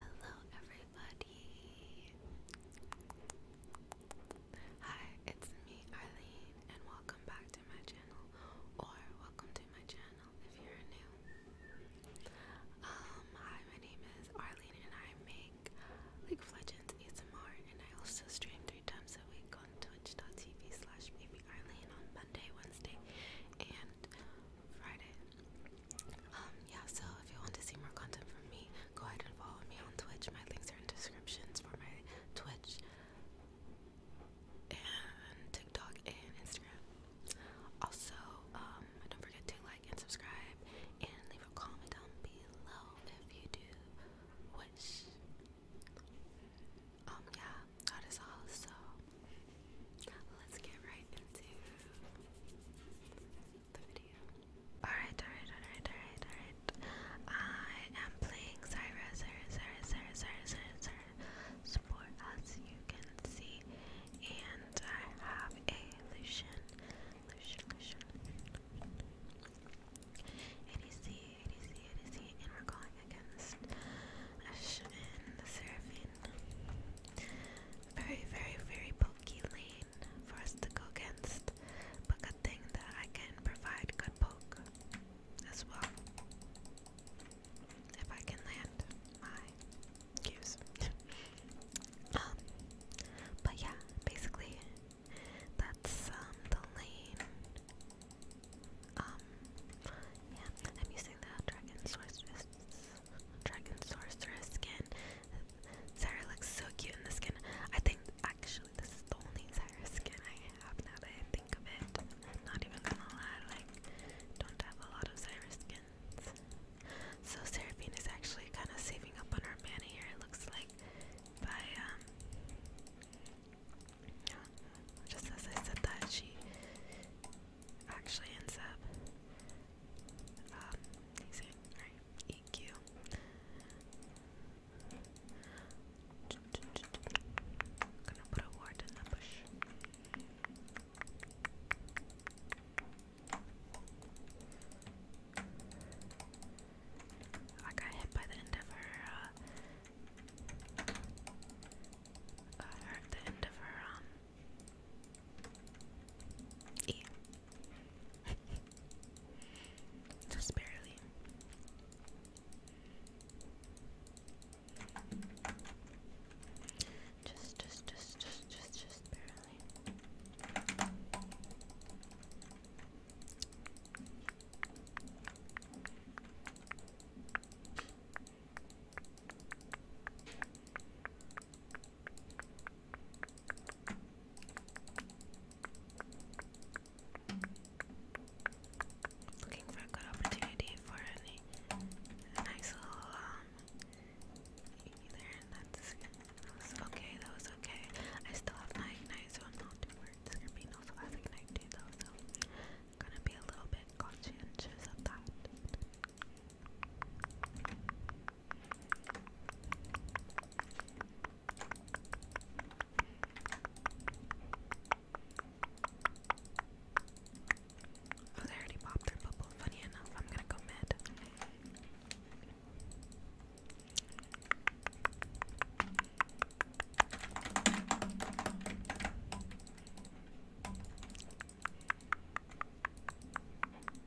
Hello, everybody. Hi, it's me, Arlene, and welcome back to my channel, or welcome to my channel if you're new. Um, hi, my name is Arlene, and I make like legends ASMR, and I also stream three times a week on twitchtv Baby Arlene on Monday, Wednesday, and Friday. Um, yeah, so if you want to see more content from me, go ahead and follow me on Twitch. My links are in descriptions for my Twitch and TikTok and Instagram. Also, um, don't forget to like and subscribe and leave a comment down below if you do wish. Um, yeah, that is all. So, let's get right into the video. Alright, alright, alright, alright, alright. I am playing Zyra, Zyra, Zyra, Zyra, Zyra, Zyra, Zyra Sport as you can see. And I have a Lucian, Lucian, Lucian. ADC, ADC, ADC, and we're going against Ashen, the Seraphine, very, very, very pokey lane for us to go against, but good thing that I can provide good poke as well. If I can land my cues. um, but yeah, basically, that's um, the lane. Um, yeah, I'm using the dragon source Dragon Sorceress skin. Sarah looks so cute in the skin. I think actually this is the only Sarah skin I have now that I think of it. not even gonna lie, like don't have a lot of Sarah skins. So Seraphine is actually kind of saving up on her mana here. It looks like by um, just as I said that she actually ends up um, right EQ gonna put a ward in the bush I got hit by the end of her uh, uh the end of her um E. Just barely. Just, just, just, just, just, just barely. Looking for a good opportunity for any, nice little, um, either, that's, that was okay, that was okay. I still have my so I'm not too worried. Scarpino also has ignite too, though, so gonna be a little bit conscientious of that. Oh, they already popped their bubble. Funny enough, I'm gonna go mid.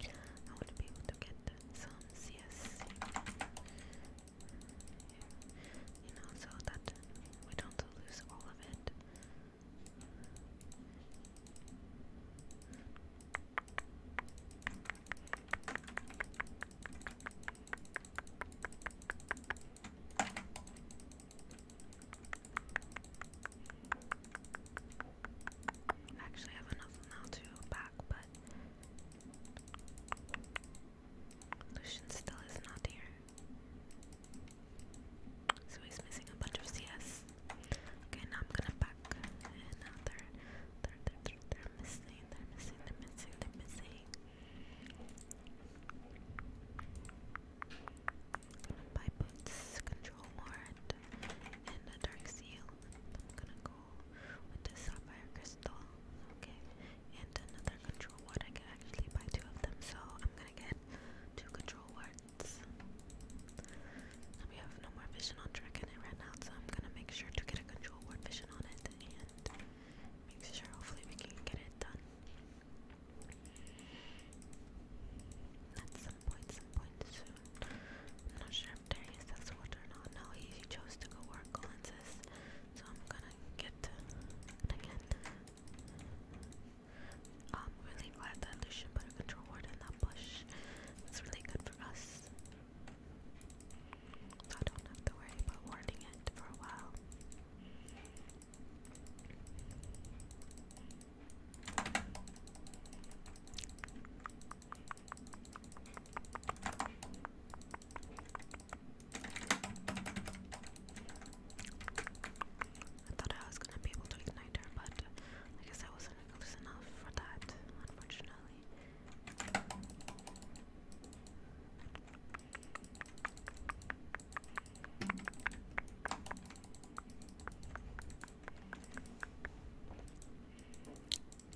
I want to be able to get some CS, you know, so that we don't lose all of it. Okay, I actually have enough now to pack, but Lucian still is not here. So he's missing a bunch of CS. Okay, now I'm gonna pack. And now they're, they're, they're, missing, they're missing, they're missing, they're missing. Gonna control ward, and a dark seal. I'm gonna go with the sapphire crystal, okay, and another control ward. I can actually buy two of them, so I'm gonna get two control wards. we have no more vision on Dragon right now, so I'm gonna make sure to get a control ward vision on it and make sure hopefully we can get it done. At some point, some point soon. not sure after his ex-wife, no, no, he chose to go work on this, so I'm gonna get again. i really glad that Lucian put a control ward in that bush. It's really good for us. So I don't have to worry about warding it for a while. I thought I was gonna be able to ignite her, but I guess I wasn't close enough for that, unfortunately.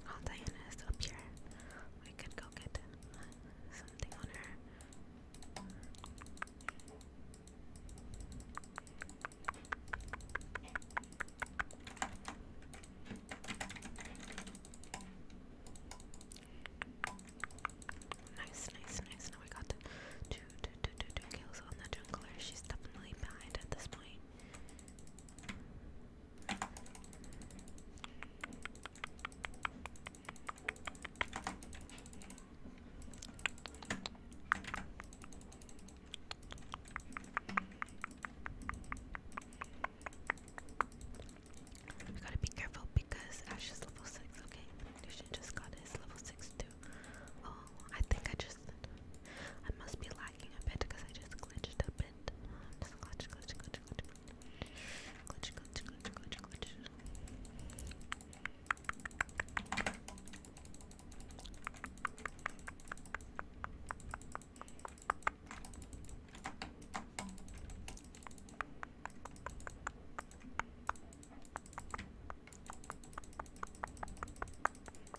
While oh, Diana is up here, we could go get something on her. Nice, nice, nice. Now we got two, two, two, two, two kills on the jungler. She's definitely behind at this point. We gotta be careful because Ash is level 6, okay? Lucian just got his level 6 too. Oh, I think I just. I must be lying lagging a I just glitched a bit. Just glitch, glitch, glitch, glitch. Glitch, glitch, glitch, glitch, glitch.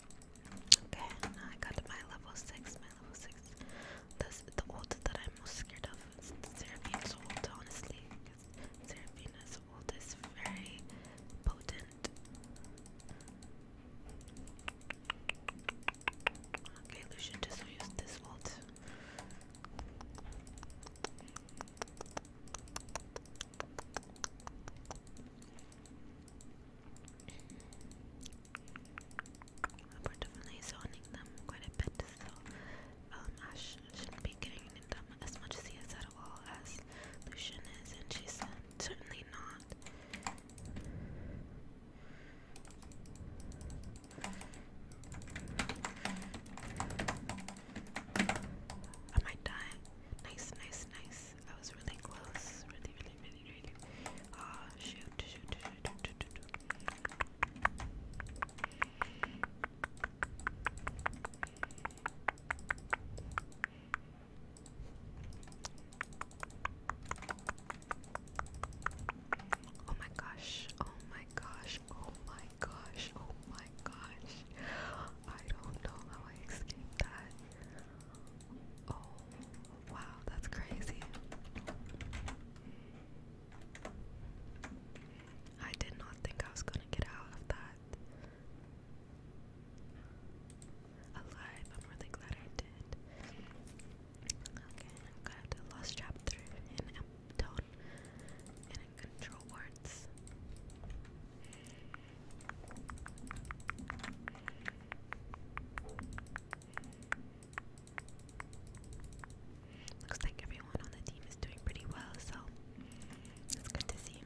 Okay, now I got my level 6, my level 6. This, the ult that I'm most scared of is Seraphine's ult, honestly. Because Seraphina's ult is very potent. Okay, Lucian just used this ult. We're definitely zoning them quite a bit, so um, Ash shouldn't be getting into them as much as he is at all as Lucian is, and she's um, certainly not. I might die. Nice, nice, nice. I was really close. Really, really, really really. Ah, shoot, Oh my gosh, oh my gosh, oh my gosh, oh my gosh. I don't know how I escaped that. Oh, wow, that's crazy. I did not think I was gonna get out of that alive. I'm really glad I did. Okay, I'm glad I lost chapter in M in control words. Looks like everyone on the team is doing pretty well, so it's good to see.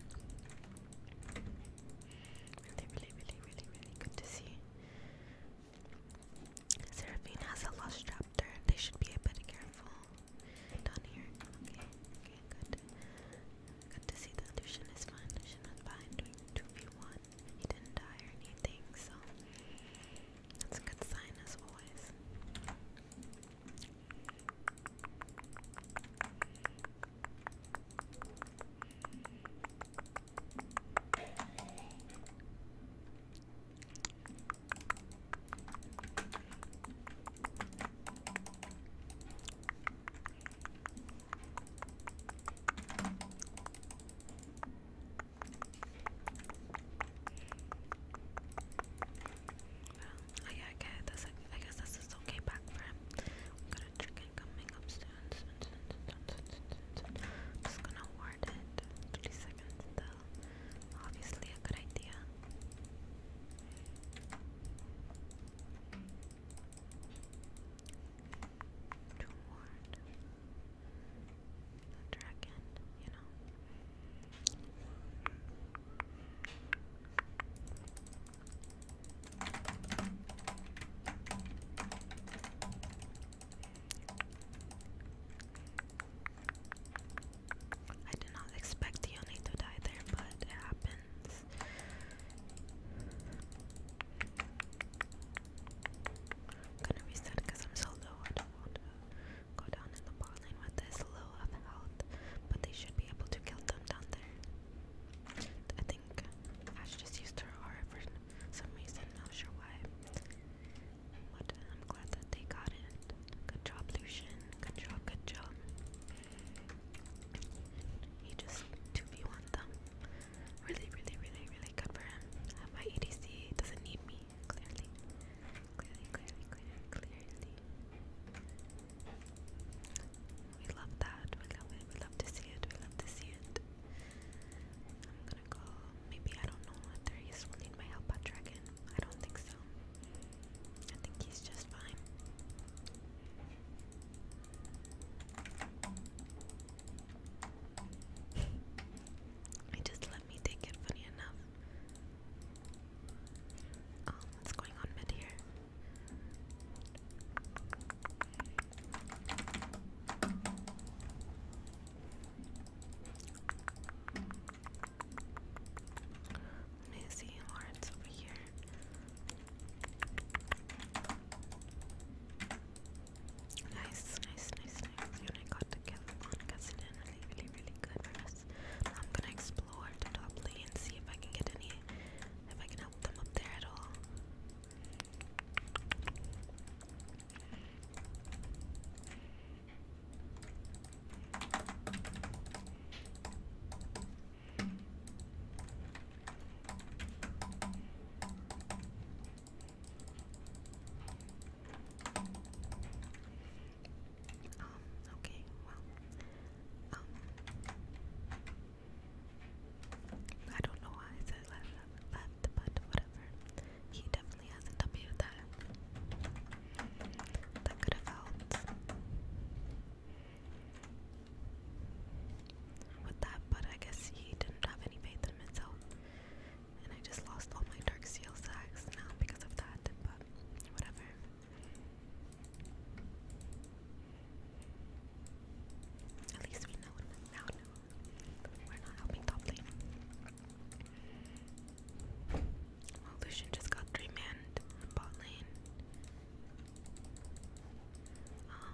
Really, really, really, really, really good to see. Seraphine has a lost trap there; They should be a bit careful. Down here. Okay, okay, good. Good to see that Lucian is fine. Lucian was fine. Doing he didn't die or anything, so that's a good sign as always. Well, oh, I, I, guess I guess this is okay back for him. got a chicken coming up soon. just gonna ward it. 30 seconds though. Obviously a good idea. To ward. I did not expect Yoni to die there, but it happens gonna reset I'm so low. I don't want to go down in the bot with this low of health, but they should be able to kill them down there. I think Ash just used her aura for some reason. Not sure why. But I'm glad that they got it. Good job, Lucian. Good job. Good job. He just two v one them. Really, really, really, really good him. Uh, my EDC doesn't need me, clearly. Clearly, clearly, clearly, clearly. We love that. We love We love to see it. We love to see it. I'm gonna go. Maybe I don't know. Atherius will need my help on Dragon. I don't think so. I think he's just fine. He just let me take it, funny enough. Oh, what's going on mid here? Let me see Lawrence over here. Nice, nice, nice, nice. You I got together on accidentally. Really, really good I'm gonna explore the top lane and see if I can get any, if I can help them up there at all. Um, okay, well, um, I don't know why I said left, left, but whatever. He definitely has a W that, that could have helped with that, but I guess he didn't have any faith in himself. And I just lost all my dark seal sacks now because of that, but whatever. At least we know now We're not helping top lane. Lucian just got three manned bot lane. Um,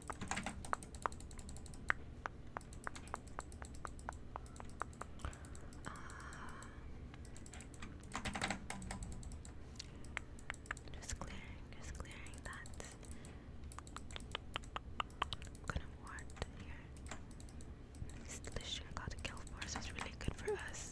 Uh, just clearing, just clearing that. gonna ward here. Installation got a kill force is really good for us.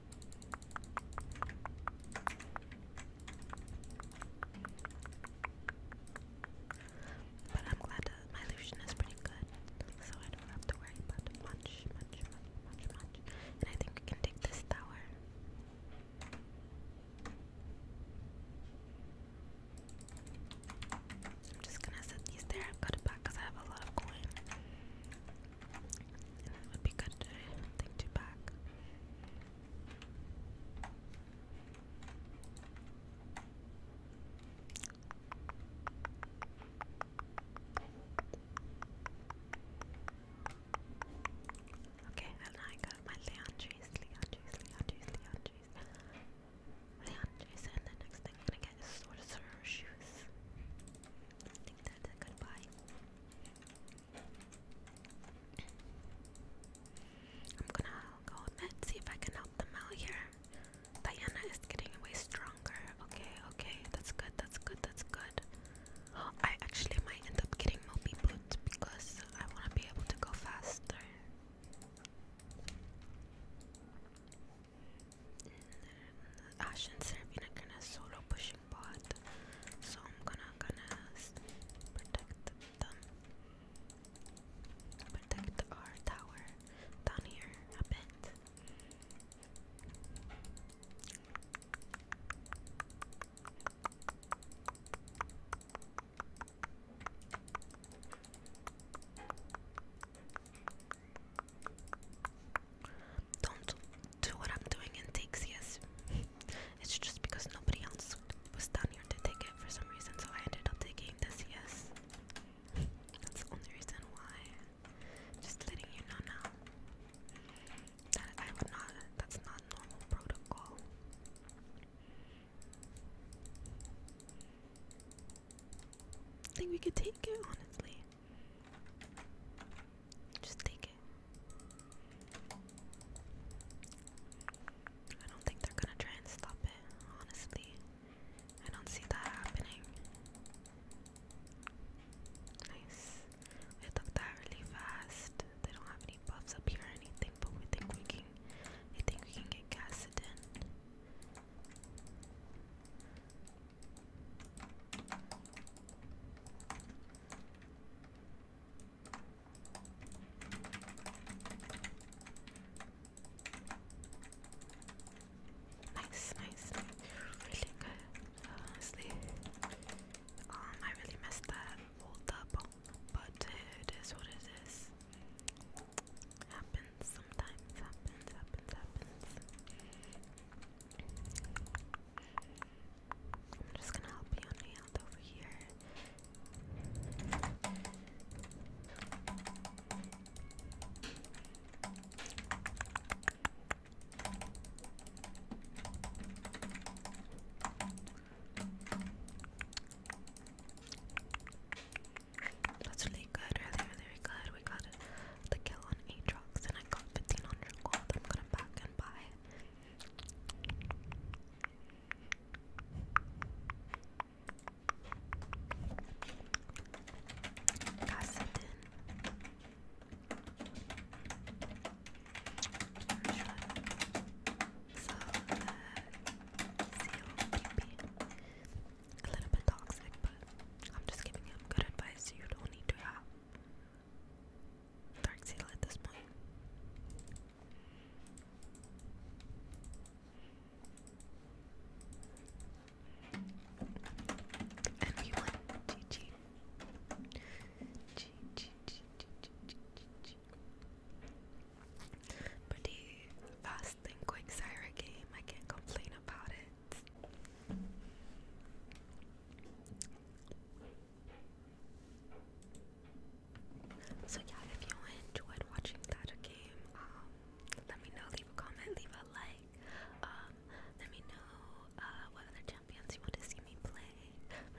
But I'm glad my illusion is pretty good, so I don't have to worry about much, much, much, much, And I think we can take this tower. I'm just gonna set these there and cut back because I have a lot of coin. And that would be good to think to pack. Okay, and I got my Leandries, Leandries, Leandries, Leandries, Leandries, and the next thing I'm gonna get is Sorcerer's Shoes. I think that's a good buy. I'm gonna go and see if I can help them out here. Diana is getting way stronger. Okay, okay, that's good, that's good, that's good. I actually might end up getting Moby Boots because I want to be able to go faster. Ash and Serena kind of solo pushing bot, so I'm gonna gonna protect them, protect our tower down here a bit. Don't do what I'm doing in takes, it's just because nobody else was down here to take it for some reason, so I ended up taking this, yes. That's the only reason why. Just letting you know now that I would not, that's not normal protocol. think we could take it, honestly. Just take it. I don't think they're gonna try and stop it, honestly. I don't see that happening. Nice. We took that really fast. They don't have any buffs up here or anything, but we think we can I think we can get Cassidon. Nice, nice, really good. Honestly, um, I really messed that fold up, but it is what it is. Happens sometimes. Happens, happens, happens. I'm just gonna help you nail over here. That's really good, really, really, really good. We got it the kill on Aatrox and I got 1500 gold. I'm gonna back and buy it. So, uh, A little bit toxic, but I'm just giving him good advice you don't need to have. Dark Seal at this point. And we won. GG. GG. Pretty fast and quick Syra game. I can't complain about it. So yeah, if you enjoyed watching that game, um, let me know, leave a comment, leave a like, um, let me know uh, what other champions you want to see me play.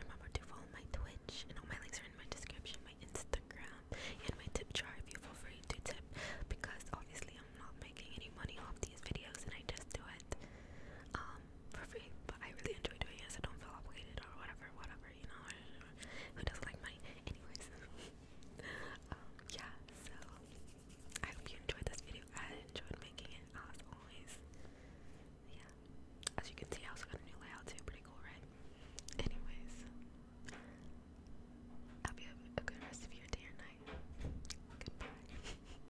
Remember to follow my Twitch, and all my links are in my description, my Instagram, and my tip jar if you feel free to tip, because obviously I'm not making any money off these videos and I just do it um, for free, but I really enjoy doing it, so don't feel obligated or whatever, whatever, you know, who doesn't like money? Anyways, um, yeah, so I hope you enjoyed this video. I enjoyed making it as always. Yeah, as you can see, I also got a new layout too, pretty cool, right? Anyways, I hope you have a good rest of your day or night. Goodbye.